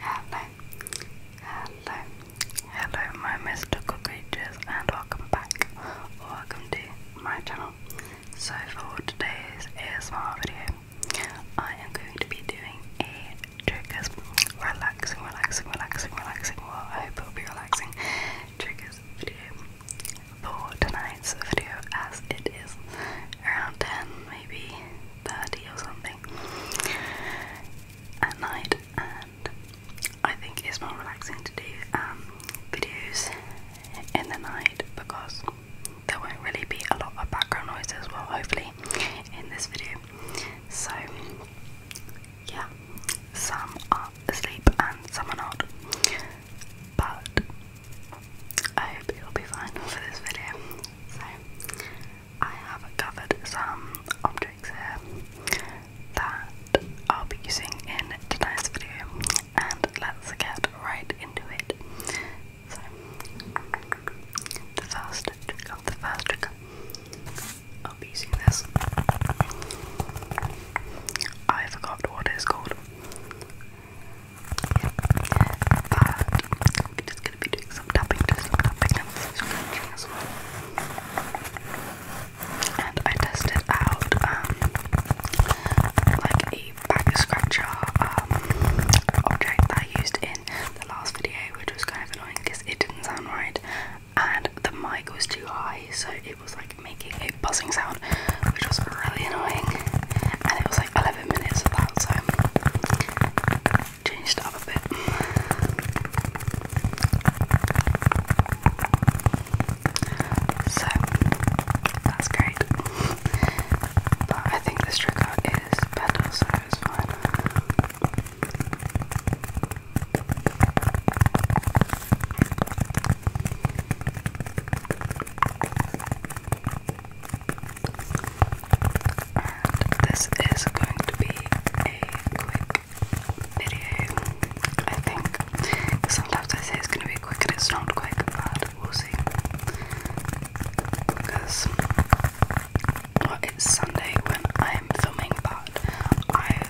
Hello, hello, hello, my mystical creatures, and welcome back, or welcome to my channel. So, for today's ASMR video, I am going to be doing a triggers, relaxing, relaxing, relaxing, relaxing. Well, I hope it will be relaxing. Triggers video for tonight's video, as it is around 10, maybe 30 or something at night, and I think it's more relaxing to do um, videos in the night because there won't really be a lot of background noise as well, hopefully, in this video. So, yeah, some are asleep and some are not, but I hope you'll be fine for this video. So, I have covered some objects here that I'll be using in tonight's video, and let's get right into it. So, the first trigger, the first trigger, I'll using this. I forgot what it's called. But I'm just gonna be doing some tapping, just some tapping and I tested out um like a back scratcher um object that I used in the last video, which was kind of annoying because it didn't sound right and the mic was too high so it was like making a buzzing sound which was really annoying. And it was like 11 minutes of that, so changed it up a bit. So that's great. But I think this trigger is better, so it's fine this is going to be a quick video, I think. Sometimes I say it's going to be quick and it's not quick, but we'll see. Because it's Sunday when I'm filming, but I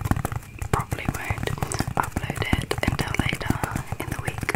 probably won't upload it until later in the week.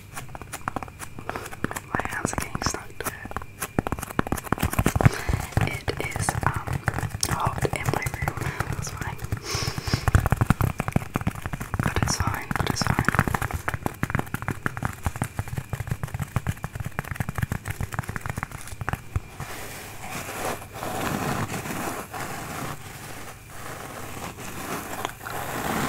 My hands are getting stuck It is um, hot in my room. That's fine. But it's fine, but it's fine.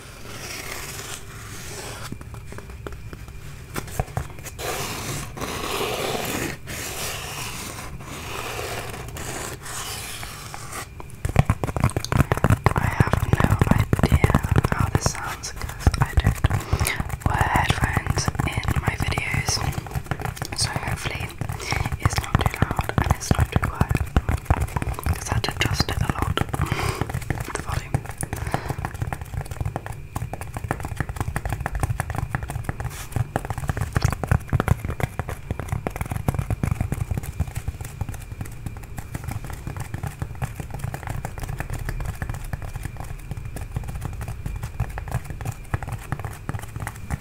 I have no idea how this sounds because I don't wear headphones in my videos. So hopefully it's not too loud and it's not too quiet because I had to adjust it a lot, the volume.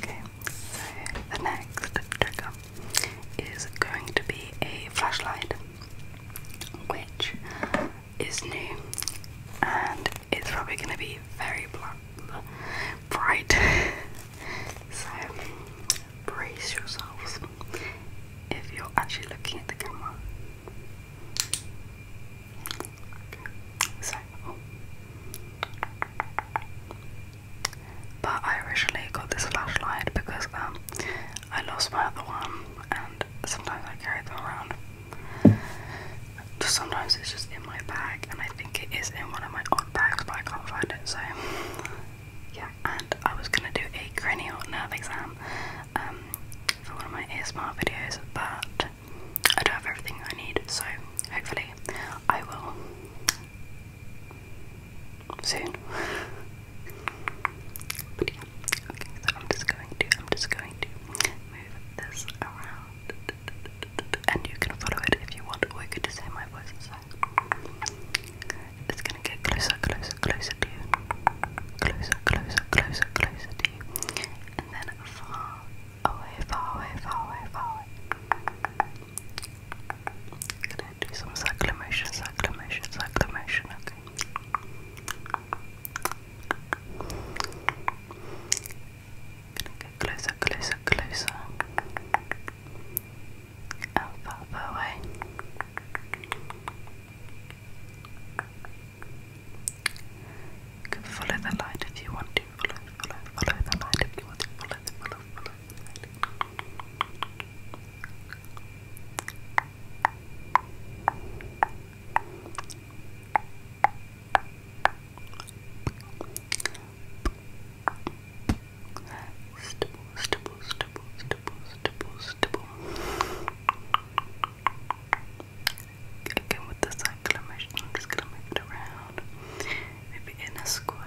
Okay, so the next trigger is going to be a flashlight, which is new and it's probably going to be very bright. so brace yourselves if you're actually looking at the camera. So, oh. But I originally got this flashlight because um I lost my other one and sometimes I carry them around. sometimes it's just in my bag and I think it is in one of my odd bags but I can't find it so yeah and I was gonna do a cranial nerve exam um for one of my ASMR videos but I don't have everything I need so hopefully I will soon. okay, so I'm just going to I'm just going to move this around and you can follow it if you want, or you could just hear my voice inside. It's gonna get closer, closer, closer to you. Closer, closer, closer, closer to you. And then far away, far away, far away, far do some cyclamation, cyclamation, cyclamation, okay. Gonna get closer, closer, closer. And further away. You can follow the light if you want to, follow, follow, follow the light if you want to, follow, follow, follow, Again with this exclamation, I'm just gonna move it around. Maybe in a square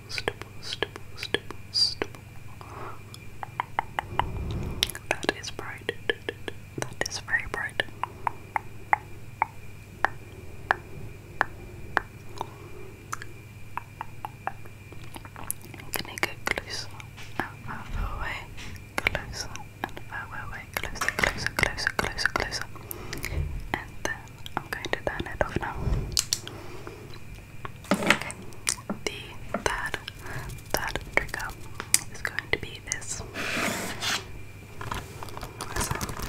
stipple, stipple, stipple, stipple. That is bright. That is very bright. Can you get closer away? Closer and further away. Closer, closer, And then I'm going to turn it off now. Okay, the third, third trigger is going to be this. So,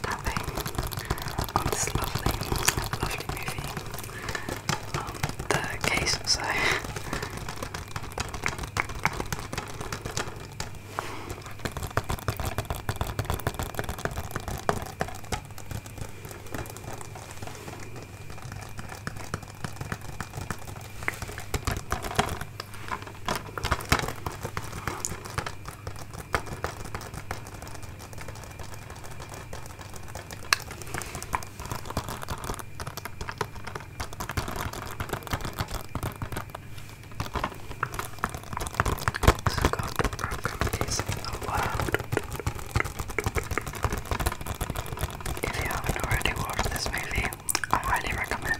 tapping on this lovely, um, the case, so. It's got the program is allowed. If you haven't already watched this movie, I highly recommend.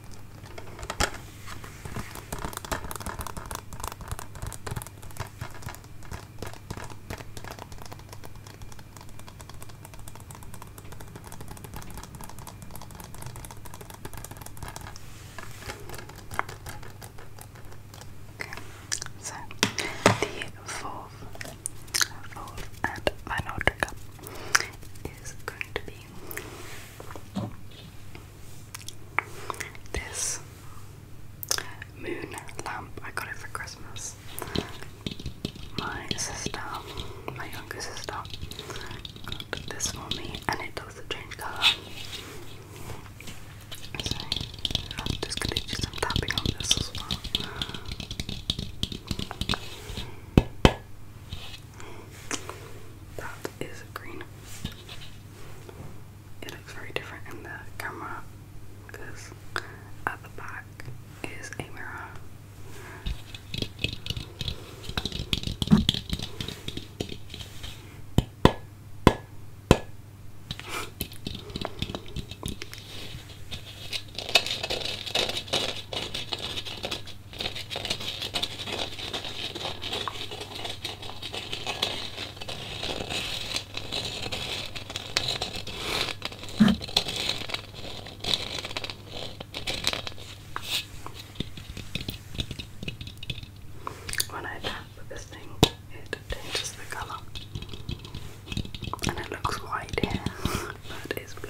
Okay, so the fourth, and final trigger is going to be this moon lamp I got it for Christmas. My sister, my younger sister, this for me, and it doesn't change colour. So I'm just gonna do some tapping on this as well. That is green. It looks very different in the camera because at the back is a mirror. When I tap this thing, it changes the colour. And it looks white here, but it's blue.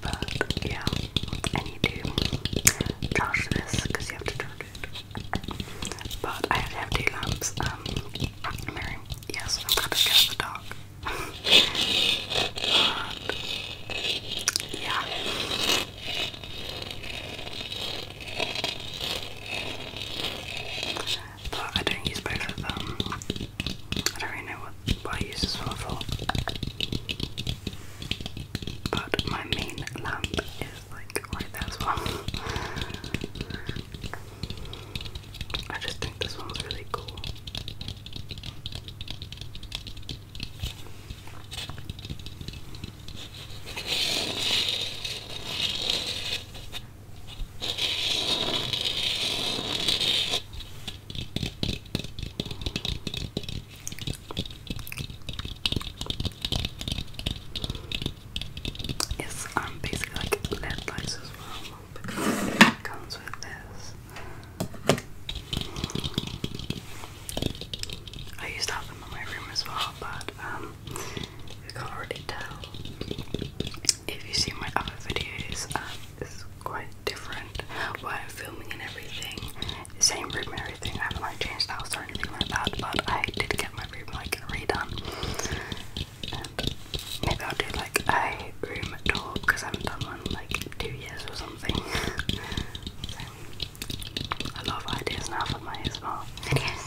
But yeah, I need to charge this because you have to charge it. But I have two lamps. Um, Mary, yes, I'm gonna scared of the dark. yeah. But I don't use both of them. I don't really know what what I use this one for. But my main lamp is like right there I just think this one's really cool. It's um basically like LED lights as well because with this. I used to have them in my room as well, but you um, can't tell if you see my other videos, um, it's quite different where I'm filming and everything, same room and everything. I haven't like changed the house or anything like that, but I did get my room like redone. maybe I'll do like a room talk because I haven't done one like two years or something. so, a ideas now for my small videos.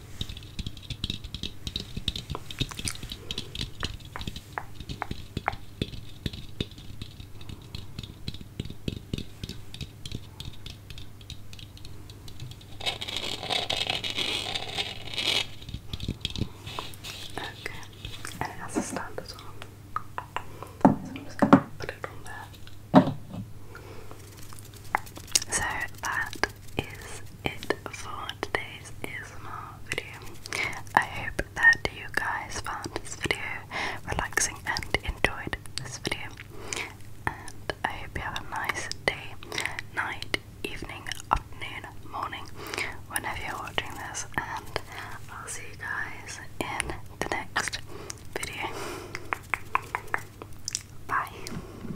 Okay, and it has a stand as well. So I'm just gonna put it on there. So that is it for today's ASMR video. I hope that you guys found this video relaxing and enjoyed this video. And I hope you have a nice day, night, evening, afternoon, morning, whenever you're watching this. And I'll see you guys in the next video. Bye.